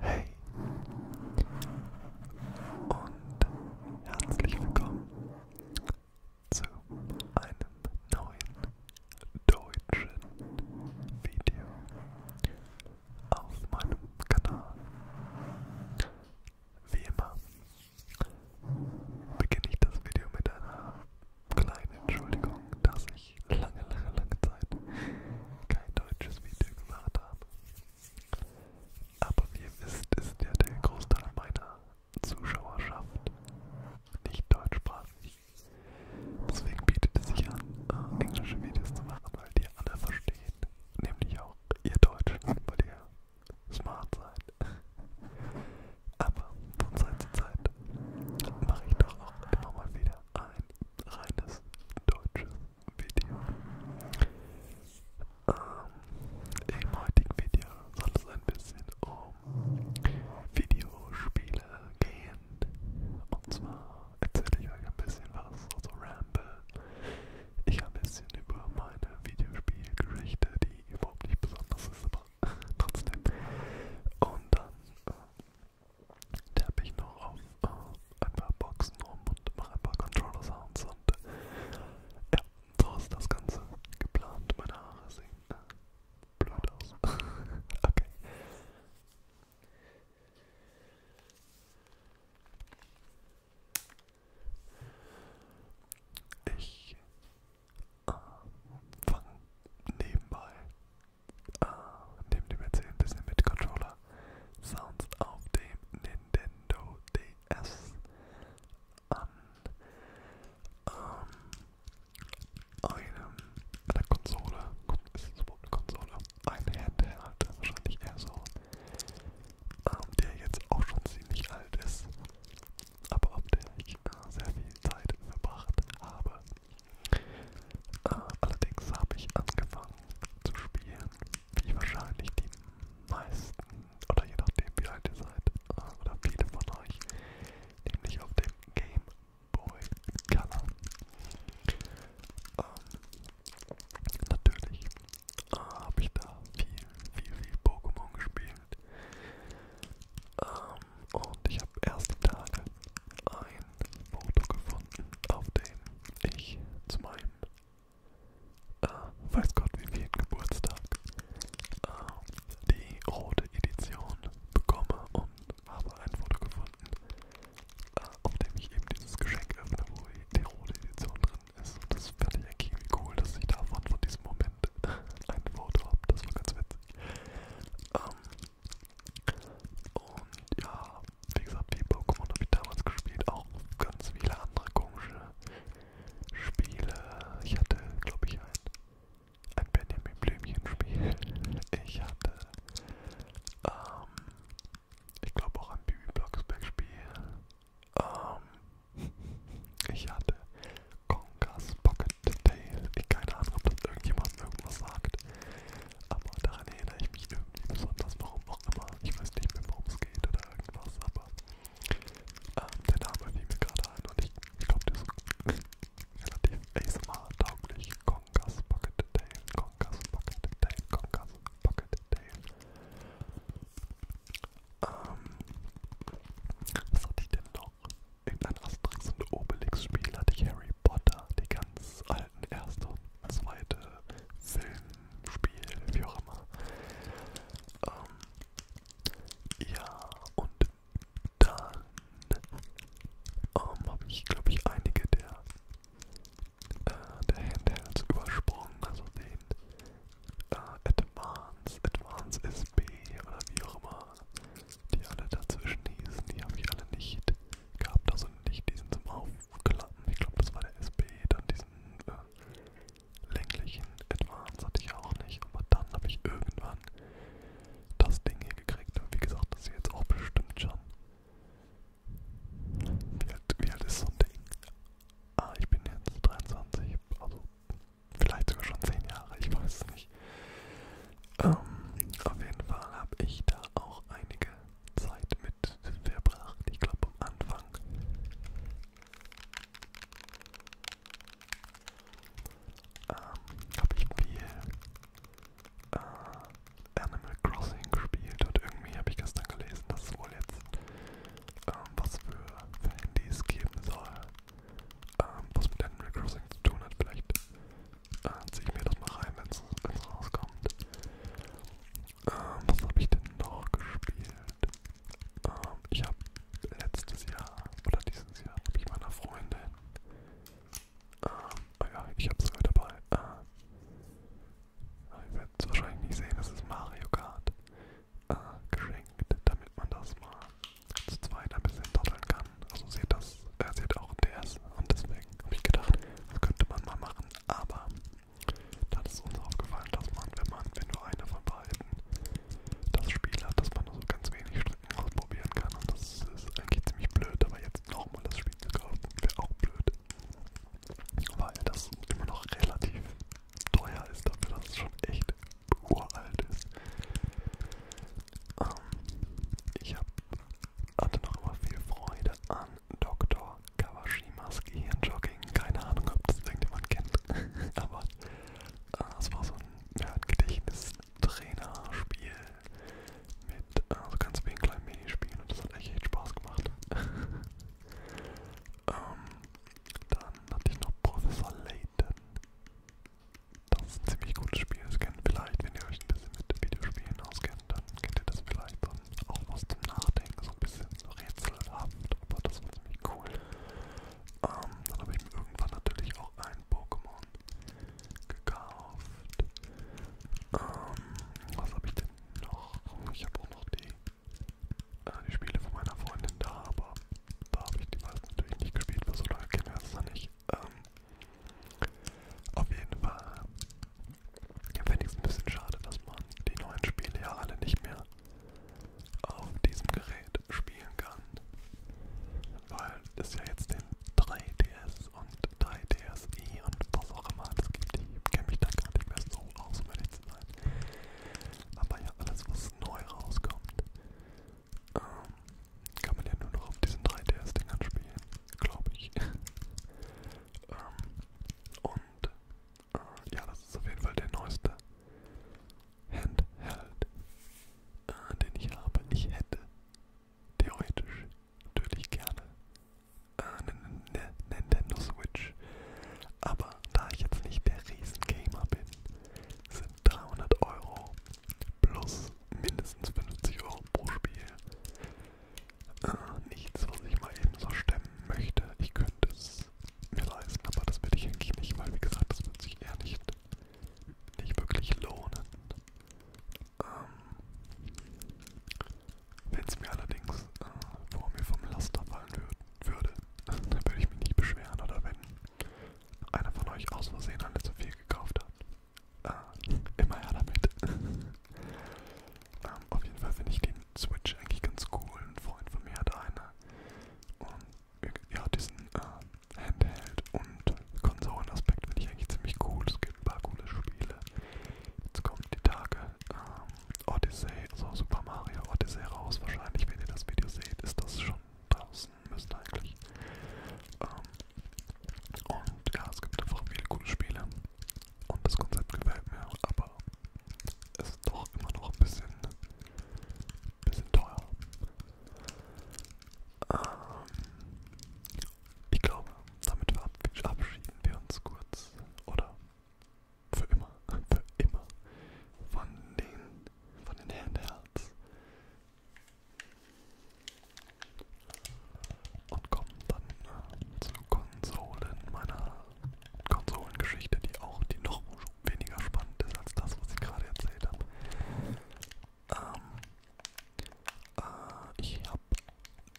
Hey und herzlich willkommen zu einem neuen deutschen Video auf meinem Kanal. Wie immer beginne ich das Video mit einer kleinen Entschuldigung, dass ich lange, lange, lange Zeit kein deutsches Video gemacht habe. Aber wie ihr wisst, ist ja der Großteil meiner Zuschauerschaft nicht deutschsprachig. Deswegen bietet es sich an, äh, englische Videos zu machen, weil die alle verstehen. Nämlich auch ihr Deutsch, weil ihr smart seid. Aber von Zeit zu Zeit mache ich doch auch immer mal wieder ein reines deutsches Video. Ähm, Im heutigen Video soll es ein bisschen um Videospiele gehen. Und zwar erzähle ich euch ein bisschen was, also Ramble. Ich habe ein bisschen über meine Videospielgeschichte, die überhaupt nicht besonders ist, aber trotzdem. Und dann äh, tappe ich noch auf ähm, äh, ein paar Boxen rum und mache ein paar Controller-Sounds und äh, ja, so ist das Ganze geplant. Meine Haare sehen äh, blöd aus. okay. Ich äh, fange nebenbei äh, ah, neben dem PC ein bisschen mit Controller Sounds auf dem Nintendo DS an ähm, einem, einer Konsole, ist es überhaupt eine Konsole? Ein Handheld, wahrscheinlich eher so, ähm, der jetzt auch schon ziemlich alt ist, aber auf der ich äh, sehr viel Zeit verbracht habe. Äh, allerdings habe ich angefangen zu spielen, wie wahrscheinlich die meisten, oder je nachdem wie alt ihr seid, äh, oder viele von euch, nämlich auf dem Game Boy Color. Ähm, natürlich äh, habe ich da viel, viel, viel Pokémon gespielt. Ähm, und ich habe erst die Tage ein ein Foto gefunden, auf dem ich zu meinem, äh, weiß Gott wie viel Geburtstag, äh, die rote Edition bekomme und habe ein Foto gefunden, äh, auf dem ich eben dieses Geschenk öffne, wo die rote Edition drin ist. Und das fand ich eigentlich irgendwie cool, dass ich davon von diesem Moment ein Foto habe. Das war ganz witzig. Ähm, und ja, wie gesagt, die Pokémon habe ich damals gespielt, auch ganz viele andere komische Spiele. Ich hatte, glaube ich, ein, ein Benjamin Blümchen-Spiel. Ich hatte, ähm, ich glaube auch ein Bibi Blocksberg-Spiel. Ähm, ich hatte Kongas Pocket Detail. Ich keine Ahnung, ob das irgendjemand irgendwas sagt. Aber daran erinnere ich mich irgendwie besonders, warum auch immer. Ich weiß nicht mehr, worum es geht oder irgendwas, aber ähm, der Name fiel mir gerade ein und ich, ich glaube, der ist relativ ASMR-tauglich. Congas Pocket Tail, Congas Pocket Tail, Congas Pocket Tail. Ähm, was hatte ich denn noch? Irgendein Asterix und Obelix-Spiel hatte ich Harry Potter, die ganz alten alten ersten, zweiten Film, Spiel, wie auch immer. Ähm, ja, und dann ähm, habe ich, glaube ich, einige der, äh, der Handhelds übersprungen, also den äh, Advance, Advance SB oder wie auch immer die alle dazwischen hießen, die habe ich alle nicht gehabt, also nicht diesen zum Aufklappen, ich glaube das war der SB, dann diesen äh, länglichen Advance hatte ich auch nicht, aber dann habe ich irgendwann das Ding hier gekriegt und wie gesagt, das ist jetzt auch bestimmt schon, wie alt, wie alt ist so ein Ding? Ah, ich bin jetzt 23, also vielleicht sogar schon 10 Jahre, ich weiß es nicht. Ähm, auf jeden Fall habe ich da auch einige Zeit mit verbracht. Ich glaube am Anfang ähm, habe ich viel äh, Animal Crossing gespielt und irgendwie habe ich gestern gelesen, dass es wohl jetzt ähm, was für, für Handys geben soll, ähm, was mit Animal Crossing zu tun hat. Vielleicht äh, ziehe ich mir das mal rein, wenn es rauskommt. Ähm, was habe ich denn noch gespielt? Ähm, ich habe letztes Jahr oder dieses Jahr habe ich meiner Freundin. Ähm, oh ja, ich habe sogar dabei. Äh, ihr werdet es wahrscheinlich nicht sehen, das ist Mario Kart. Äh, geschenkt, damit man das mal zu zweit ein bisschen dotteln kann an. Also sie hat, das, äh, sie hat auch DS und deswegen habe ich gedacht, das könnte man mal machen. Aber da ist uns aufgefallen, dass man, wenn man, wenn nur einer von beiden das Spiel hat, dass man nur so ganz wenig Strecken ausprobieren kann. Und das ist eigentlich ziemlich blöd, aber jetzt nochmal das Spiel zu kaufen, wäre auch blöd. Weil das immer noch relativ teuer ist dafür, dass es schon echt uralt ist. Ähm, ich hab, hatte noch immer viel Freude an Dr. Kawashimas Gehirnjogging. Keine Ahnung, ob das irgendjemand kennt. Aber äh, es war so ein, ja, ein Gedächtnistrainerspiel mit äh, so also ganz vielen kleinen Minispielen und das hat echt, echt Spaß gemacht. ähm, dann hatte ich noch Professor Layton. Das ist ein ziemlich gutes Spiel, das kennt vielleicht, wenn ihr euch ein bisschen mit Videospielen auskennt, dann kennt ihr das vielleicht und auch was zum Nachdenken, so ein bisschen rätselhaft, aber das war ziemlich cool. Ähm, dann habe ich mir irgendwann natürlich auch ein Pokémon gekauft. Ähm, was habe ich denn noch? Ich habe auch noch die, äh, die Spiele von meiner Freundin da, aber da habe ich die meisten natürlich nicht gespielt, weil so lange kennen wir es noch nicht. Ähm, auf jeden Fall finde ich es ein bisschen schade, dass man die neuen Spiele ja alle nicht mehr auf diesem Gerät spielen kann, weil es ja jetzt den 3DS und 3DSi e und was auch immer es gibt. Ich kenne mich da gar nicht mehr so aus, um ehrlich zu sein. Aber ja, alles, was neu rauskommt, ähm, kann man ja nur noch auf diesen 3DS-Dingern spielen, glaube ich. ähm, und äh, ja, das ist auf jeden Fall der neueste Handheld, äh, den ich habe. Ich hätte theoretisch natürlich gerne äh, eine Nintendo Switch. Aber da ich jetzt nicht der Riesen-Gamer bin, sind 300 Euro plus mindestens 50 Euro pro Spiel. Äh, nichts, was ich mal eben so stemmen möchte. Ich könnte es mir leisten, aber das will ich eigentlich nicht, weil wie gesagt, das wird sich eher nicht, nicht wirklich lohnen. Ähm, Wenn es mir allerdings äh, vor mir vom Laster fallen würd, würde, dann würde ich mich nicht beschweren oder wenn einer von euch aus Versehen eine zu viel gekauft hat. Äh, immer her damit. ähm, auf jeden Fall finde ich den Switch eigentlich ganz cool. Ein Freund von mir hat eine. Und ja, diesen äh, Handheld- und Konsolenaspekt finde ich eigentlich ziemlich cool. Es gibt ein paar coole Spiele. Jetzt kommt die Tage ähm, Odyssey, also Super Mario Odyssey raus. Wahrscheinlich, wenn ihr das Video seht, ist das schon raus lassen müssen eigentlich. Ähm, und ja, es gibt einfach viele coole Spiele und das Konzept gefällt mir, aber es ist doch immer noch ein bisschen, bisschen teuer. Ähm, ich glaube, damit verabschieden wir uns kurz oder für immer, für immer von den, von den Handhelds. Und kommen dann zu Konsolen meiner Konsolengeschichte, die auch die noch weniger spannend ist als das, was ich gerade erzählt habe. Ähm, äh, ich habe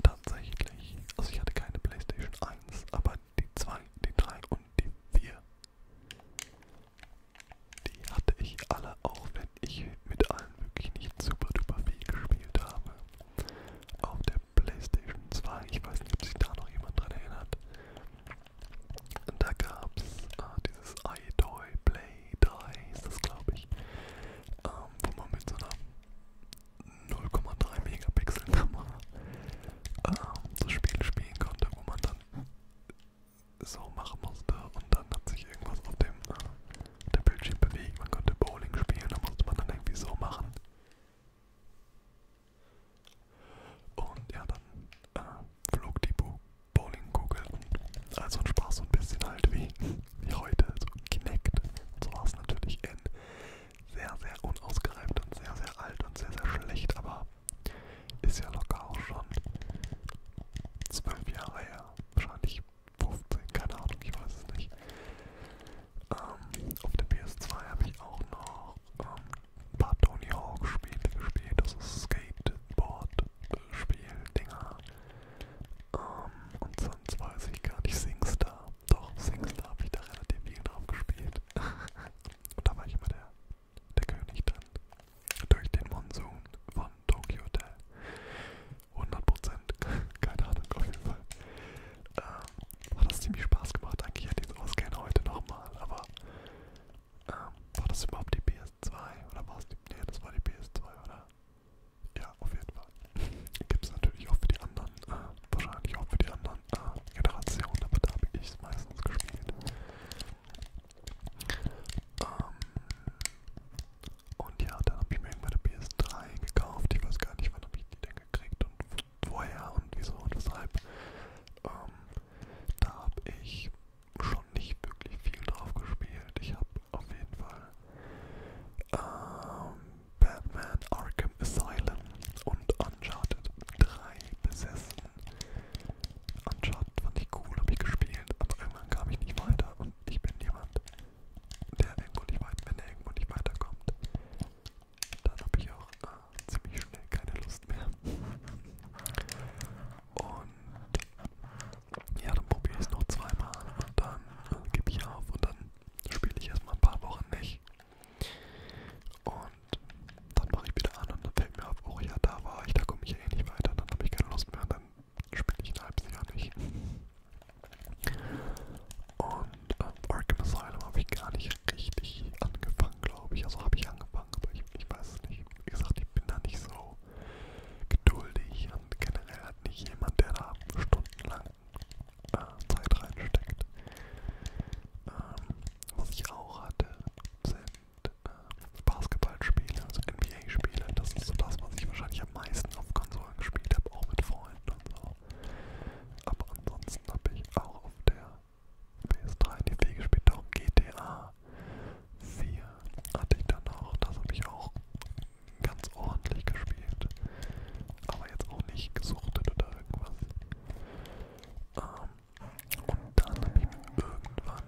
tatsächlich, also ich hatte keine Playstation 1, aber die 2, die 3 und die 4. Die hatte ich alle, auch wenn ich mit allen wirklich nicht super duper viel gespielt habe. Auf der Playstation 2, ich weiß nicht, ob sich da noch jemand dran erinnert. Da gab es äh, ah, dieses iToy Play 3, ist das glaube ich, ähm, wo man mit so einer 0,3 Megapixel Kamera ähm, das Spiel spielen konnte, wo man dann so machen musste und dann hat sich irgendwas auf dem, äh, der Bildschirm bewegt. Man konnte Bowling spielen, da musste man dann irgendwie so machen. Und ja, dann äh, flog die Bowlingkugel und also ein Spaß so ein bisschen halt wie, wie heute, so Kinect. Und so war es natürlich in sehr, sehr unausgereift und sehr, sehr alt und sehr, sehr schlecht, aber ist ja locker auch schon zwölf Jahre her, wahrscheinlich 15, keine Ahnung, ich weiß es nicht. Ähm, auf der PS2 habe ich auch noch ähm, ein paar Tony Hawk Spiele gespielt, also Skateboard-Spiel-Dinger. Ähm, und sonst weiß ich gar nicht, Singstar. Doch, Singstar habe ich da relativ viel drauf gespielt. und da war ich immer der der König drin. Durch den Monsun von Tokyo Hotel. 100%, keine Ahnung, auf jeden Fall. Ähm, hat das ziemlich Spaß gemacht. Eigentlich hätte ich es ausgehen heute nochmal, aber ähm, war das überhaupt die PS2 oder war es die. Nee, das war die PS2, oder? Ja, auf jeden Fall. Gibt es natürlich auch für die anderen, äh, wahrscheinlich auch für die anderen äh, Generationen, aber da habe ich es meistens gespielt. Ähm, und ja, dann habe ich mir irgendwann eine PS3 gekauft. Ich weiß gar nicht, wann habe ich die denn gekriegt und woher und wieso und weshalb. Ähm, da habe ich schon nicht wirklich viel drauf gespielt. Ich habe auf jeden Fall ähm, Batman Arkham Asylum und Uncharted 3 besessen. Uncharted fand ich cool, habe ich gespielt, aber irgendwann kam ich nicht weiter und ich bin jemand, der irgendwo nicht weit, wenn er irgendwo nicht weiterkommt, dann habe ich auch äh, ziemlich schnell keine Lust mehr. Und ja, dann probiere ich es noch zweimal und dann äh, gebe ich auf und dann spiele ich erstmal ein paar Wochen nicht. Und dann mache ich wieder an und dann denke mir, oh ja, da war ich, da komme ich eh nicht weiter, dann habe ich keine Lust mehr, dann spiele ich ein halbes Jahr nicht. Und ähm, Arkham Asylum habe ich gar nicht richtig angefangen, glaube ich. Also habe ich angefangen, aber ich, ich weiß es nicht. Wie gesagt, ich bin da nicht so geduldig und generell hat nicht jemand, der da stundenlang äh, Zeit reinsteckt. Ähm, was ich auch hatte, sind äh, Basketballspiele, also NBA-Spiele. Das ist so das, was ich wahrscheinlich am meisten auf Konsolen gespielt habe, auch mit Freunden und so. Aber ansonsten habe ich auch auf der PS3 in die Wege gespielt, darum GTA 4 hatte ich dann auch. Das habe ich auch ganz ordentlich gespielt. Aber jetzt auch nicht gesuchtet oder irgendwas. Ähm, und dann habe ich irgendwann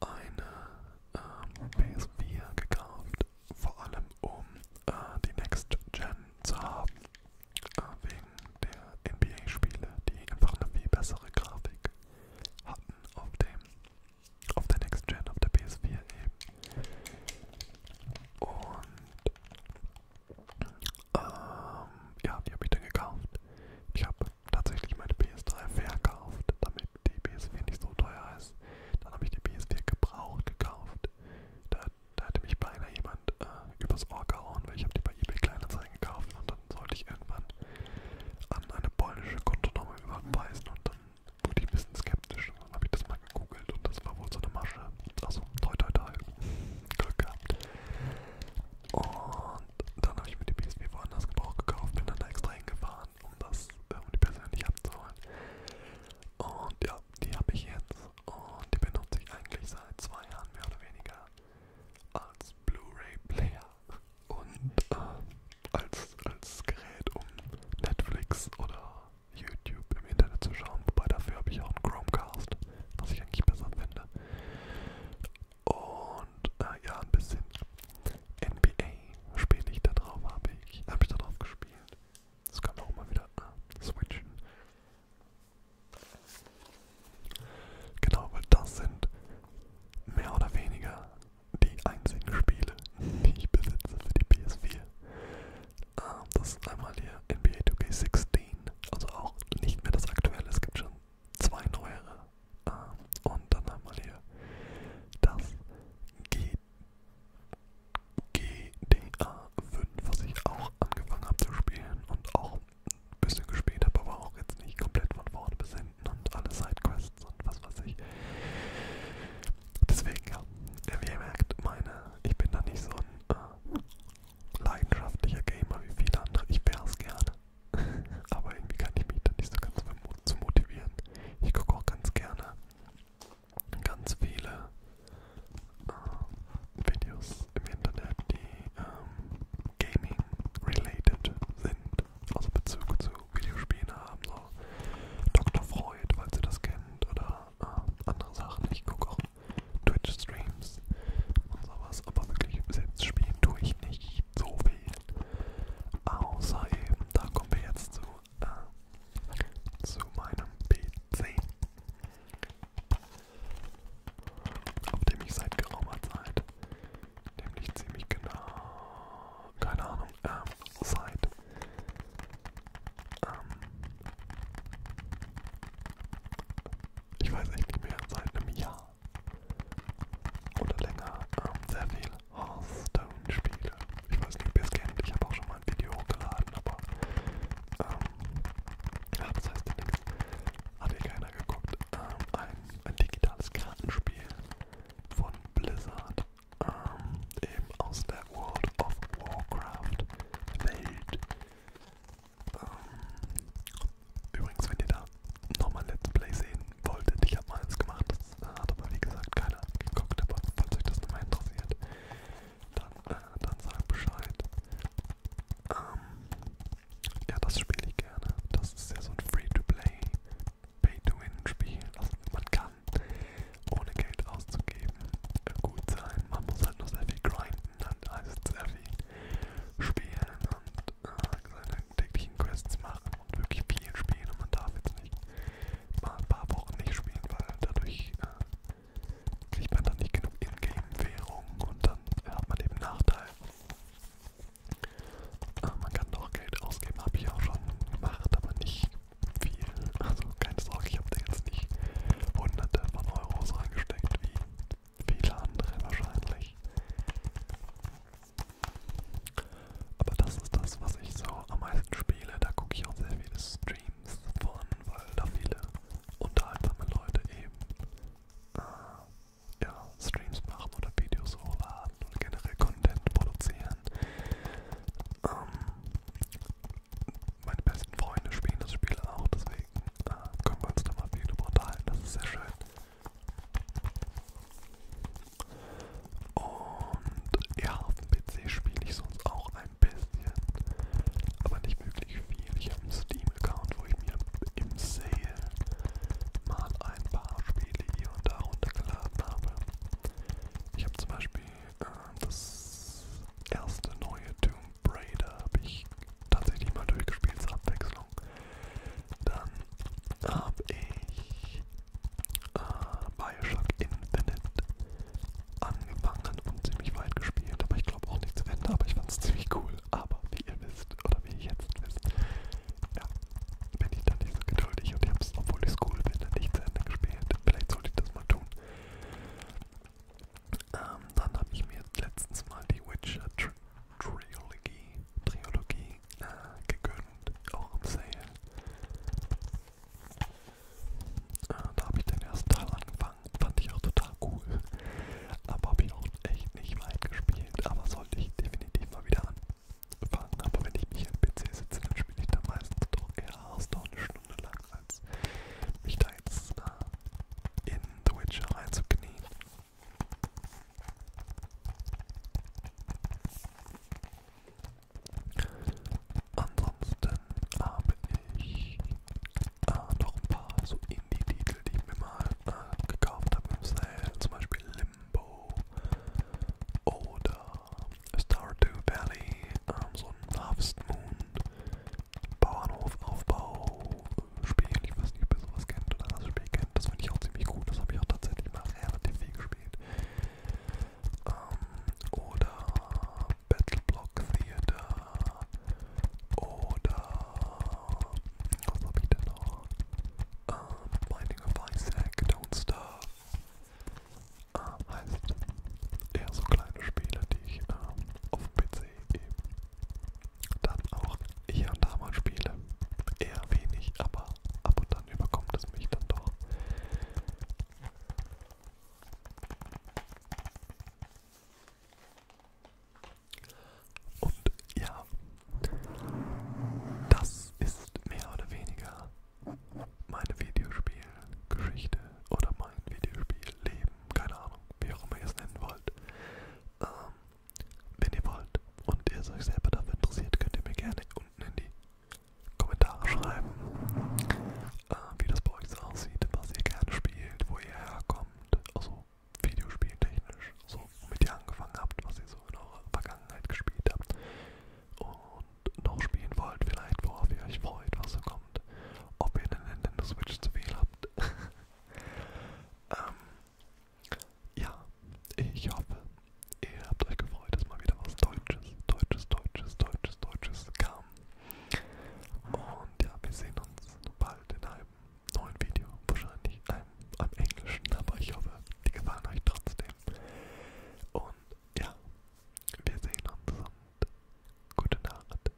eine ähm, PS4 gekauft, vor allem um äh, die Next Gen zu haben, äh, wegen der NBA-Spiele, die einfach eine viel bessere Grafik hatten auf dem auf der Next Gen, auf der PS4 eben. Und ähm, ja, die habe ich dann gekauft. Ich habe tatsächlich meine PS3 verkauft, damit die PS4 nicht so teuer ist. Dann habe ich die PS4 gebraucht gekauft. Da, da hätte mich beinahe jemand äh, übers Ohr gehauen, weil ich habe die bei eBay Kleinanzeigen gekauft und dann sollte ich irgendwann an eine polnische Kontonummer überweisen und dann wurde ich ein bisschen skeptisch. Und dann habe ich das mal gegoogelt und das war wohl so eine Masche. Also toi toi toi. Glück gehabt. Und dann habe ich mir die PSP woanders Gebrauch gekauft, bin dann da extra hingefahren, um das äh, um die persönlich abzuholen. Und ja, die habe ich jetzt und die benutze ich eigentlich seit zwei Jahren mehr oder weniger als Blu-ray-Player und äh, als, als Gerät, um Netflix oder YouTube im Internet zu schauen. Wobei dafür habe ich auch einen Chromecast, was ich eigentlich besser finde. Und äh, ja, ein bisschen NBA spiele ich da drauf, habe ich, hab ich da drauf gespielt. Das kann man auch mal wieder äh, switchen. Genau, weil das sind mehr oder weniger die einzigen Spiele, die ich besitze für die PS4. Ähm, das ist einmal hier NBA 2K16, also auch nicht mehr das aktuelle, es gibt schon zwei neuere. Ähm, und dann haben wir hier das G GTA 5, was ich auch angefangen habe zu spielen und auch ein bisschen gespielt habe, aber auch jetzt nicht komplett von vorne bis hinten und alle Sidequests und was weiß ich. Deswegen, ja, wie ihr merkt, meine, ich bin da nicht so ein äh, leidenschaftlicher Gamer wie viele andere. Ich wäre es gerne, Aber irgendwie kann ich mich da nicht so ganz zu motivieren. Ich gucke auch ganz gerne ganz viele äh, Videos im Internet, die ähm, Gaming-related sind, also Bezug zu Videospielen haben, so Dr. Freud, falls ihr das kennt, oder äh, andere Sachen. Ich gucke auch Twitch-Streams Games und sowas, aber wirklich selbst spielen tue ich nicht so viel. Außer eben, da kommen wir jetzt zu, äh, zu meinem PC, auf dem ich seit geraumer Zeit, nämlich ziemlich genau, keine Ahnung, ähm, seit, ähm, ich weiß echt nicht mehr, seit einem Jahr oder länger ähm, sehr viel Hearthstone spiele. Ich weiß nicht, ob ihr es kennt, ich habe auch schon mal ein Video hochgeladen, aber ähm, ja, das heißt ja nichts. Hat hier keiner geguckt. Ähm, ein, ein digitales Kartenspiel von Blizzard, ähm, eben aus der World of Warcraft Welt. Ähm, übrigens, wenn ihr da nochmal Let's Play sehen wolltet, ich habe mal eins gemacht, das äh, hat aber wie gesagt keiner geguckt, aber falls euch das nochmal interessiert, dann, äh, dann sagt Bescheid. Ähm, ja, das spiele ich gerne. Das ist ja so ein Free-to-Play, Pay-to-Win-Spiel. Also man kann ohne Geld auszugeben gut sein. Man muss halt nur sehr viel grinden, dann heißt sehr viel spielen und oft äh, seine täglichen Quests machen und wirklich viel spielen und man darf jetzt nicht mal ein paar Wochen nicht spielen, weil dadurch äh, kriegt man dann nicht genug Ingame-Währung und dann äh, hat man eben Nachteil. Äh, man kann doch Geld ausgeben, habe ich auch schon gemacht, aber nicht viel. Also keine Sorge, ich habe da jetzt nicht hunderte von Euros reingesteckt, wie Viele andere wahrscheinlich. Aber das ist das, was ich so am meisten spiele. Da gucke ich auch sehr viele Streams von, weil da viele unterhaltsame Leute eben äh, ja, Streams machen oder Videos hochladen oder generell Content produzieren. Ähm, meine besten Freunde spielen das Spiel auch, deswegen da können wir uns nochmal viel drüber unterhalten, das ist sehr schön. Und ja, auf dem PC spiele ich sonst auch ein bisschen, aber nicht wirklich viel. Ich habe einen Steam-Account, wo ich mir im Sale mal ein paar Spiele hier und da runtergeladen habe. Ich habe zum Beispiel äh, das erste neue Tomb Raider habe ich tatsächlich mal durchgespielt zur Abwechslung. Dann habe ich äh, Bioshock Infinite angefangen und ziemlich weit gespielt, aber ich glaube auch nicht zu Ende, aber ich fand es ziemlich cool. Aber wie ihr wisst, oder wie ihr jetzt wisst, ja, bin ich dann nicht so geduldig und ich habe es, obwohl ich es cool finde, nicht zu Ende gespielt. Vielleicht sollte ich das mal tun. Ähm, dann habe ich mir letztens mal die Witcher Tri Trilogie, Trilogie äh, gegönnt, auch im Sale. Äh, da habe ich den ersten Teil angefangen, fand ich auch total cool. Aber habe ich auch echt nicht weit gespielt, aber sollte ich definitiv mal wieder anfangen. Aber wenn ich mich am PC sitze, dann spiele ich da meistens doch eher Hearthstone eine Stunde lang, als mich da Seitensteins äh, in The Witcher reinzuknien. Ansonsten habe ich äh, noch ein paar so Indie-Titel, die ich mir mal äh, gekauft habe im Sale, zum Beispiel Limbo oder Stardew Valley, ähm, so ein Harvest Moon. Bauernhofaufbau Spiel. Ich weiß nicht, ob ihr sowas kennt oder das Spiel kennt. Das finde ich auch ziemlich gut. Das habe ich auch tatsächlich mal relativ viel gespielt. Ähm, oder Battle Block Theater. Oder was habe ich denn noch? Ähm, Binding of Isaac, Don't Starve. Ah, heißt eher so kleine Spiele, die ich ähm, auf dem PC eben dann auch hier und da mal Spiele. Eher wenig, aber ab und an überkommt es mich dann doch. Und ja, das ist mehr oder weniger meine Videospielgeschichte oder mein Videospielleben keine Ahnung, wie auch immer ihr es nennen wollt. Ähm, wenn ihr wollt und ihr euch selber dafür interessiert, könnt ihr mir gerne unten in die Kommentare schreiben, äh, wie das bei euch so aussieht, was ihr gerne spielt, wo ihr herkommt, also videospieltechnisch, so womit ihr angefangen habt, was ihr so in eurer Vergangenheit gespielt habt und noch spielen wollt, vielleicht worauf ihr euch freut, was so kommt, ob ihr eine Nintendo Switch zu viel habt. Ähm, ja, ich hoffe, ihr habt euch gefreut, dass mal wieder was Deutsches, Deutsches, Deutsches, Deutsches, Deutsches kam. Und ja, wir sehen uns bald in einem neuen Video, wahrscheinlich einem am Englischen, aber ich hoffe, die gefallen euch trotzdem. Und ja, wir sehen uns und gute Nacht.